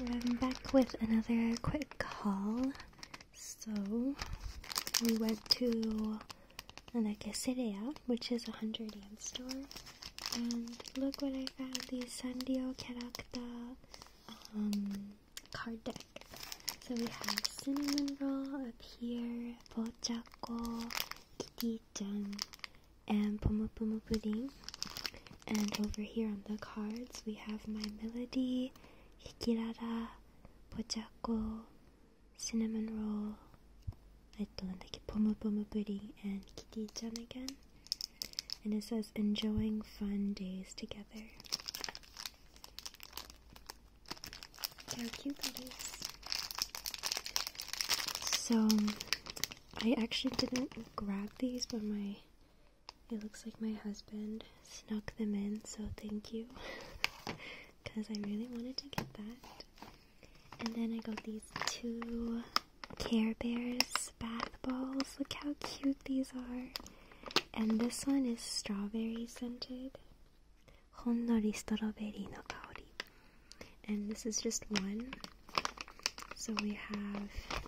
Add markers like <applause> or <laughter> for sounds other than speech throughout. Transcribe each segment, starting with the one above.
I'm back with another quick haul. So we went to Anakasereya, which is a hundred yen store. And look what I found, the Sandio Character um, card deck. So we have cinnamon roll up here, pochaco, kitty done and Pomo Pomo Pudding. And over here on the cards, we have My Melody, Hikirara, Pochako, Cinnamon Roll, I don't like it, Pomo Pomo Pudding, and Kitty-chan again. And it says, enjoying fun days together. Look cute So, I actually didn't grab these, but my it looks like my husband snuck them in, so thank you. Because <laughs> I really wanted to get that. And then I got these two Care Bears bath balls. Look how cute these are. And this one is strawberry scented. Honnori strawberry no kaori and this is just one. So we have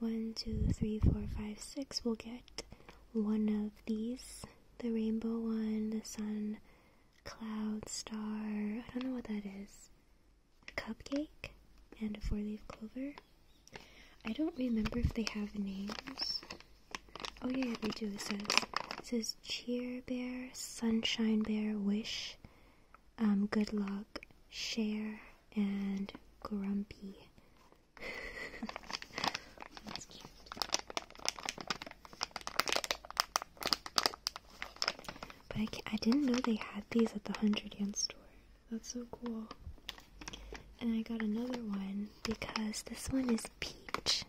one, two, three, four, five, six. We'll get one of these the rainbow one, the sun, cloud, star. I don't know what that is. A cupcake and a four leaf clover. I don't remember if they have names. Oh yeah, yeah, do. It says it says cheer bear, sunshine bear, wish, um, good luck, share, and grumpy. <laughs> That's cute. But I, I didn't know they had these at the 100 yen store. That's so cool. And I got another one because this one is peach,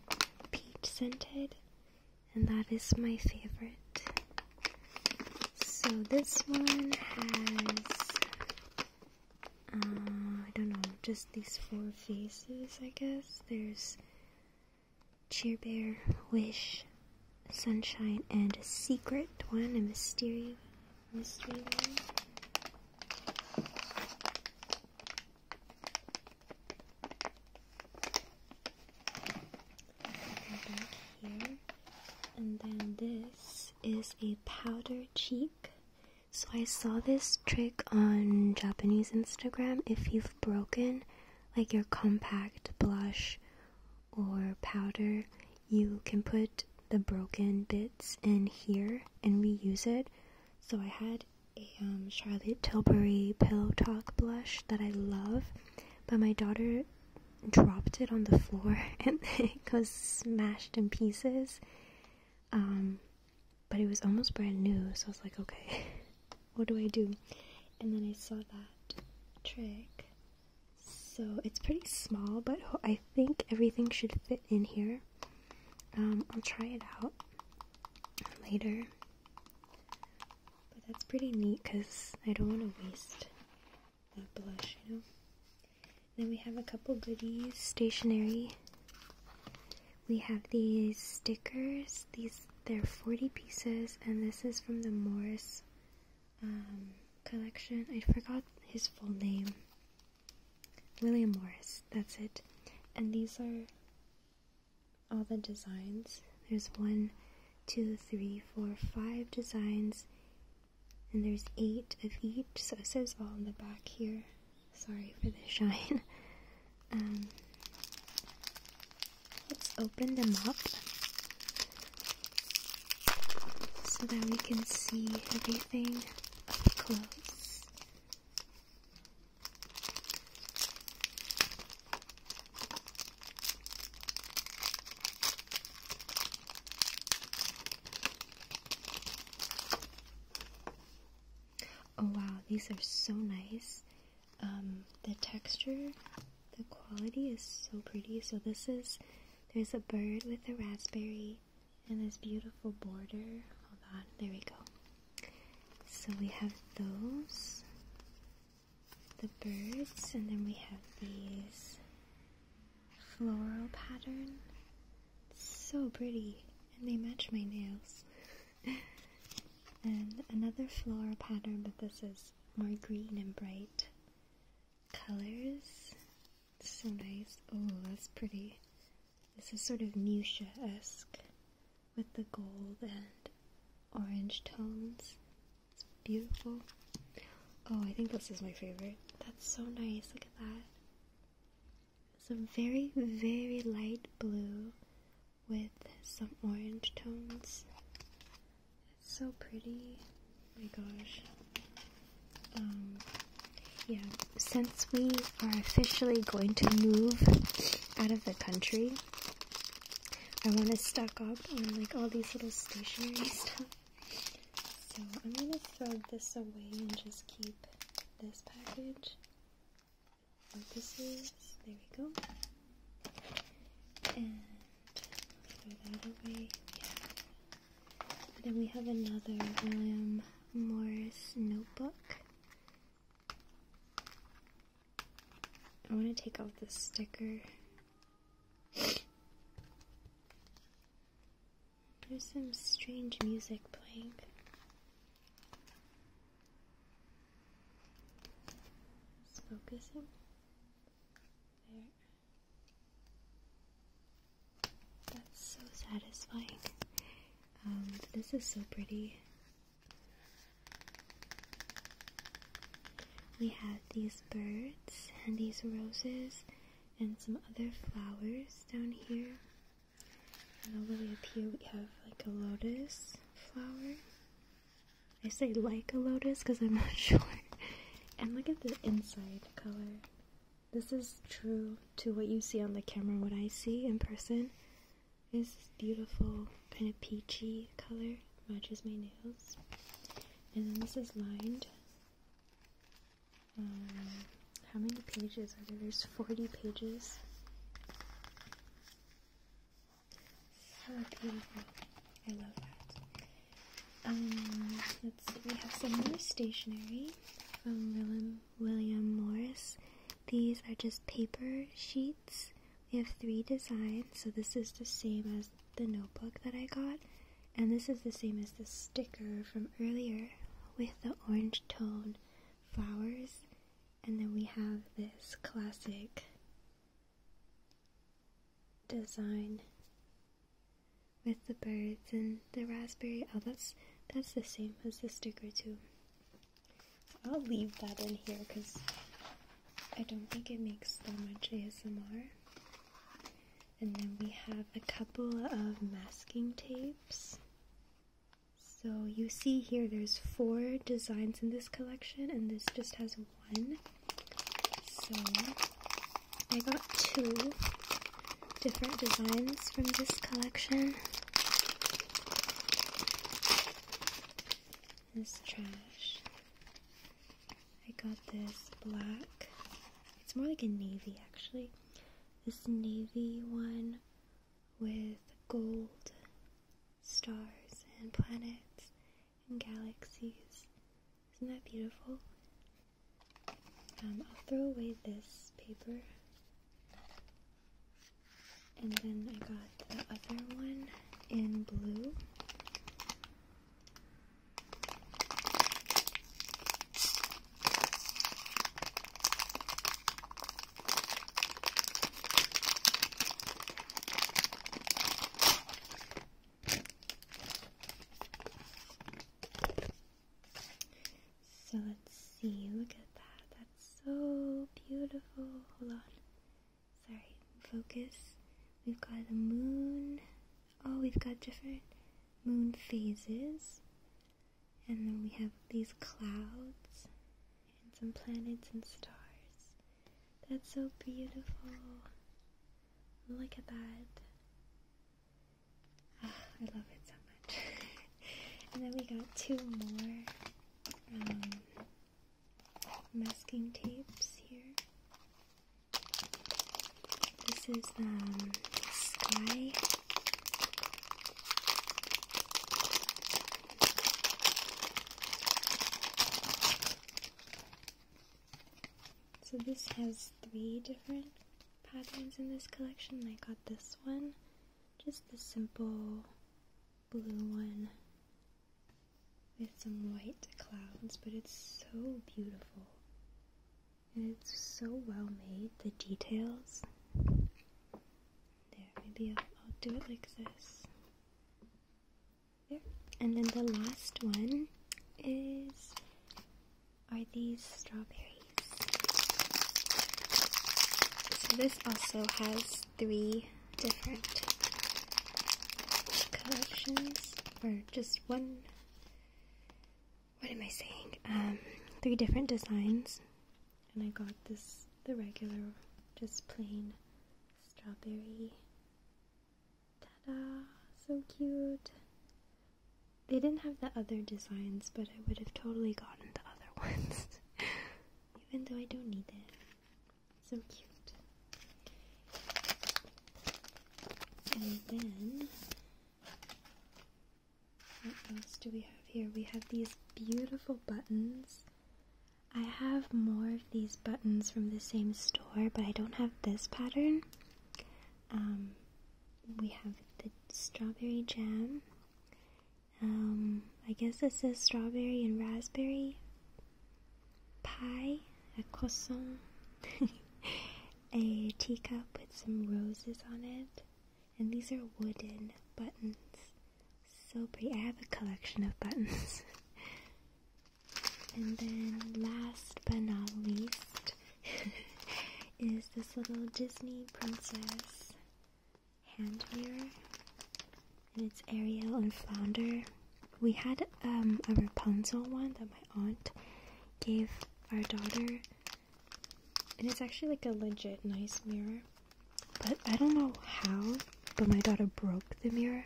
peach scented, and that is my favorite. So this one has, um, I don't know, just these four faces, I guess. There's Cheer Bear, Wish, Sunshine, and a secret one, a mystery, mystery one. And then this is a powder cheek. So I saw this trick on Japanese Instagram. If you've broken like your compact blush or powder, you can put the broken bits in here and reuse it. So I had a um, Charlotte Tilbury Pillow Talk blush that I love, but my daughter dropped it on the floor <laughs> and it goes smashed in pieces. Um, but it was almost brand new, so I was like, okay, <laughs> what do I do? And then I saw that trick. So it's pretty small, but I think everything should fit in here. Um, I'll try it out later. But that's pretty neat because I don't want to waste that blush, you know? Then we have a couple goodies, stationery. We have these stickers. These they're 40 pieces, and this is from the Morris um, collection. I forgot his full name. William Morris, that's it. And these are all the designs. There's one, two, three, four, five designs, and there's eight of each, so it says all on the back here. Sorry for the <laughs> shine. Um, let's open them up so that we can see everything up close. Oh wow, these are so nice. Um, the texture, the quality is so pretty. So this is there's a bird with a raspberry and this beautiful border. Hold on, there we go. So we have those, the birds, and then we have these floral pattern. So pretty, and they match my nails. <laughs> and another floral pattern, but this is more green and bright colors so nice. Oh, that's pretty. This is sort of fuchsia-esque with the gold and orange tones. It's beautiful. Oh, I think this is my favorite. That's so nice. Look at that. It's a very, very light blue with some orange tones. It's so pretty. Oh my gosh. Um, yeah, since we are officially going to move out of the country, I want to stock up on like all these little stationery stuff. So I'm gonna throw this away and just keep this package. What this is, there we go. And throw that away. But then we have another William um, Morris notebook. I want to take off this sticker. There's some strange music playing. focusing. There. That's so satisfying. Um, this is so pretty. We have these birds and these roses and some other flowers down here. And all the way up here we have like a lotus flower. I say like a lotus because I'm not <laughs> sure. And look at the inside color. This is true to what you see on the camera. What I see in person is this beautiful kind of peachy color, matches my nails. And then this is lined. Um, how many pages are there? There's 40 pages. Oh, beautiful. I love that. Um, let's see, we have some more stationery from William, William Morris. These are just paper sheets. We have three designs, so this is the same as the notebook that I got. And this is the same as the sticker from earlier with the orange tone flowers. And then we have this classic design with the birds and the raspberry. Oh, that's that's the same as the sticker too. I'll leave that in here because I don't think it makes that much ASMR. And then we have a couple of masking tapes. So you see here there's four designs in this collection and this just has one. So I got two different designs from this collection. This trash. I got this black. It's more like a navy actually. This navy one with gold stars and planets and galaxies. Isn't that beautiful? Um, I'll throw away this paper. And then I got the other one in blue. So let's see, look at that. That's so beautiful. Hold on. Sorry, focus. We've got the moon. Oh, we've got different moon phases. And then we have these clouds and some planets and stars. That's so beautiful. Look at that. Ah, I love it so much. <laughs> and then we got two more um, masking tapes here. This is um, sky. So this has three different patterns in this collection. I got this one, just the simple blue one with some white clouds, but it's so beautiful. And it's so well made, the details. There, maybe I'll, I'll do it like this. And then the last one is are these strawberries. So this also has three different collections or just one what am I saying? Um, three different designs. And I got this the regular just plain strawberry Ta-da! So cute. They didn't have the other designs, but I would have totally gotten the other <laughs> ones. Even though I don't need it. So cute. And then, what else do we have here? We have these beautiful buttons. I have more of these buttons from the same store, but I don't have this pattern. Um, we have the strawberry jam. Um, I guess this is strawberry and raspberry pie, a croissant, <laughs> a teacup with some roses on it, and these are wooden buttons. So pretty. I have a collection of buttons. <laughs> And then last but not least <laughs> is this little Disney princess hand mirror. And it's Ariel and Flounder. We had um, a Rapunzel one that my aunt gave our daughter. And it's actually like a legit nice mirror. But I don't know how, but my daughter broke the mirror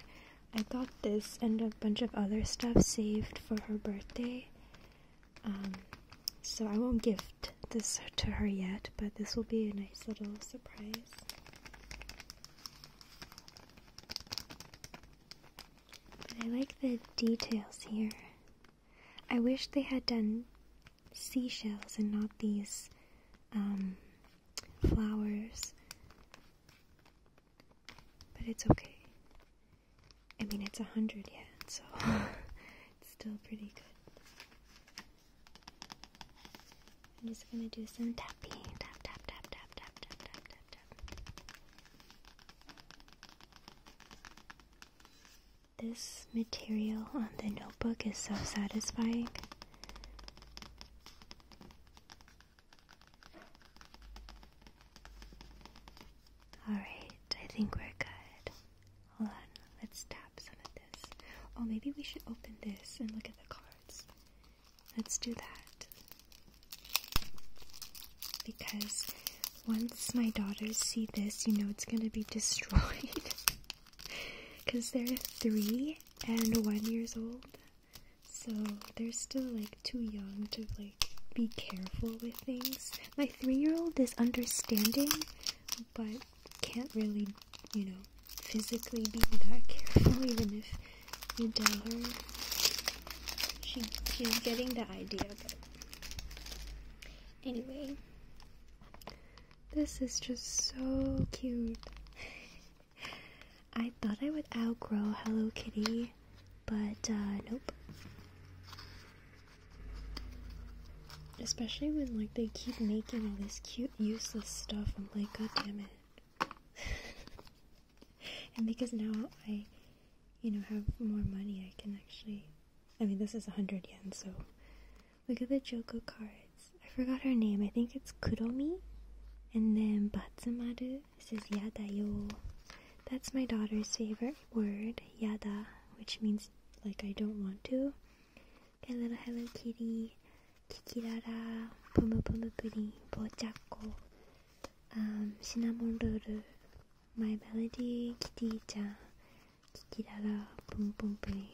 I got this and a bunch of other stuff saved for her birthday. Um, so I won't gift this to her yet, but this will be a nice little surprise. I like the details here. I wish they had done seashells and not these um, flowers. But it's okay. I mean, it's a hundred yet, so <laughs> it's still pretty good. I'm just gonna do some tapping. Tap, tap, tap, tap, tap, tap, tap, tap, This material on the notebook is so satisfying. Alright, I think we're good. Hold on, let's tap some of this. Oh, maybe we should open this and look at the cards. Let's do that. Because once my daughters see this, you know it's gonna be <laughs> destroyed. Because they're three and one years old. So they're still like too young to like be careful with things. My three-year-old is understanding, but can't really, you know, physically be that careful <laughs> even if you tell her. She she's getting the idea, but anyway. This is just so cute. <laughs> I thought I would outgrow Hello Kitty, but uh, nope. Especially when like they keep making all this cute useless stuff. I'm like, god damn it. <laughs> and because now I, you know, have more money, I can actually. I mean, this is a hundred yen, so Look at the Joker cards. I forgot her name. I think it's Kuromi. And then Batsumaru. This is Yada yo. That's my daughter's favorite word, Yada, which means like I don't want to. Got a little Hello Kitty, Kikirara, Pumu Pumu Pudding, Bochako, um, Cinnamon Roll, My Melody, Kitty-chan, Kikirara, Pum Pum Pudding.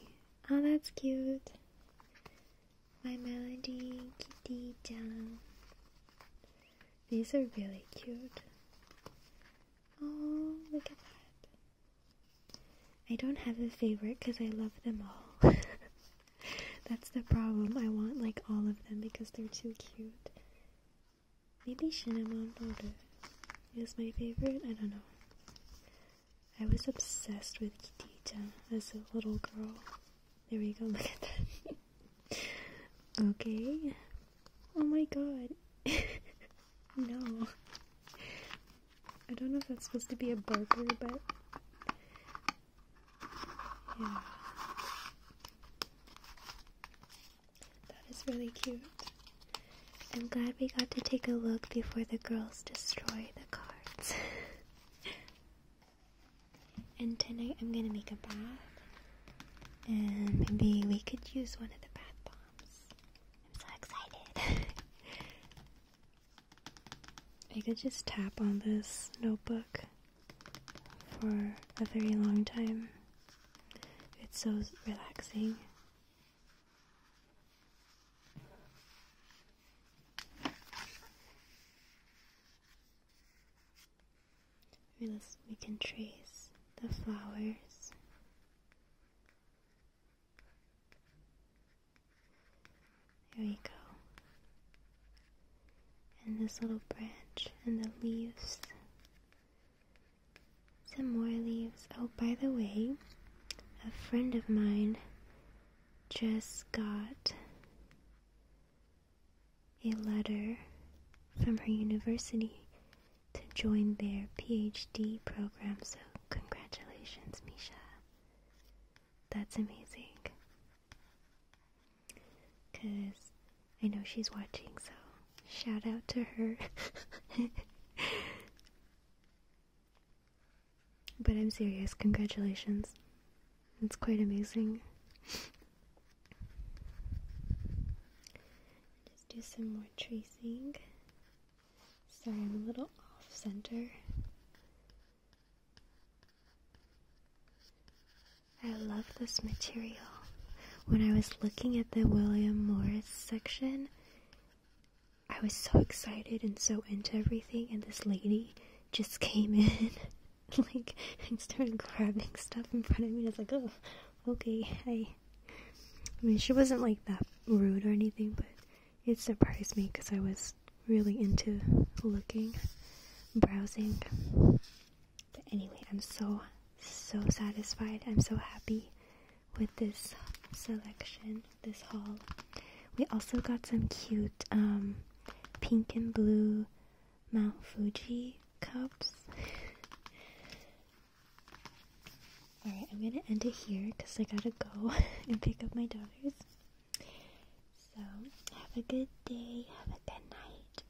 Oh, that's cute. My Melody Kitty Chan. These are really cute. Oh, look at that. I don't have a favorite because I love them all. <laughs> That's the problem. I want like all of them because they're too cute. Maybe Cinnamon Order is my favorite. I don't know. I was obsessed with Kitita as a little girl. There we go, look at that. <laughs> okay. Oh my god. <laughs> no. I don't know if that's supposed to be a burger, but. Yeah. That is really cute. I'm glad we got to take a look before the girls destroy the cards. <laughs> and tonight I'm gonna make a bath. And maybe we could use one of the bath bombs. I'm so excited. <laughs> I could just tap on this notebook for a very long time. It's so relaxing. We, can trace the flowers. There we go. And this little branch and the leaves some more leaves. Oh, by the way, a friend of mine just got a letter from her university to join their PhD program, so congratulations, Misha. That's amazing. Because I know she's watching, so shout out to her. <laughs> But I'm serious, congratulations. It's quite amazing. Just do some more tracing. Sorry, I'm a little off center. I love this material. When I was looking at the William Morris section, I was so excited and so into everything, and this lady just came in, <laughs> like, and started grabbing stuff in front of me. And I was like, oh, okay, I. I mean, she wasn't like that rude or anything, but it surprised me because I was really into looking, browsing. But anyway, I'm so, so satisfied. I'm so happy with this selection, this haul. We also got some cute um, pink and blue Mount Fuji cups. Alright, I'm gonna end it here because I gotta go <laughs> and pick up my daughters. So, have a good day, have a good night.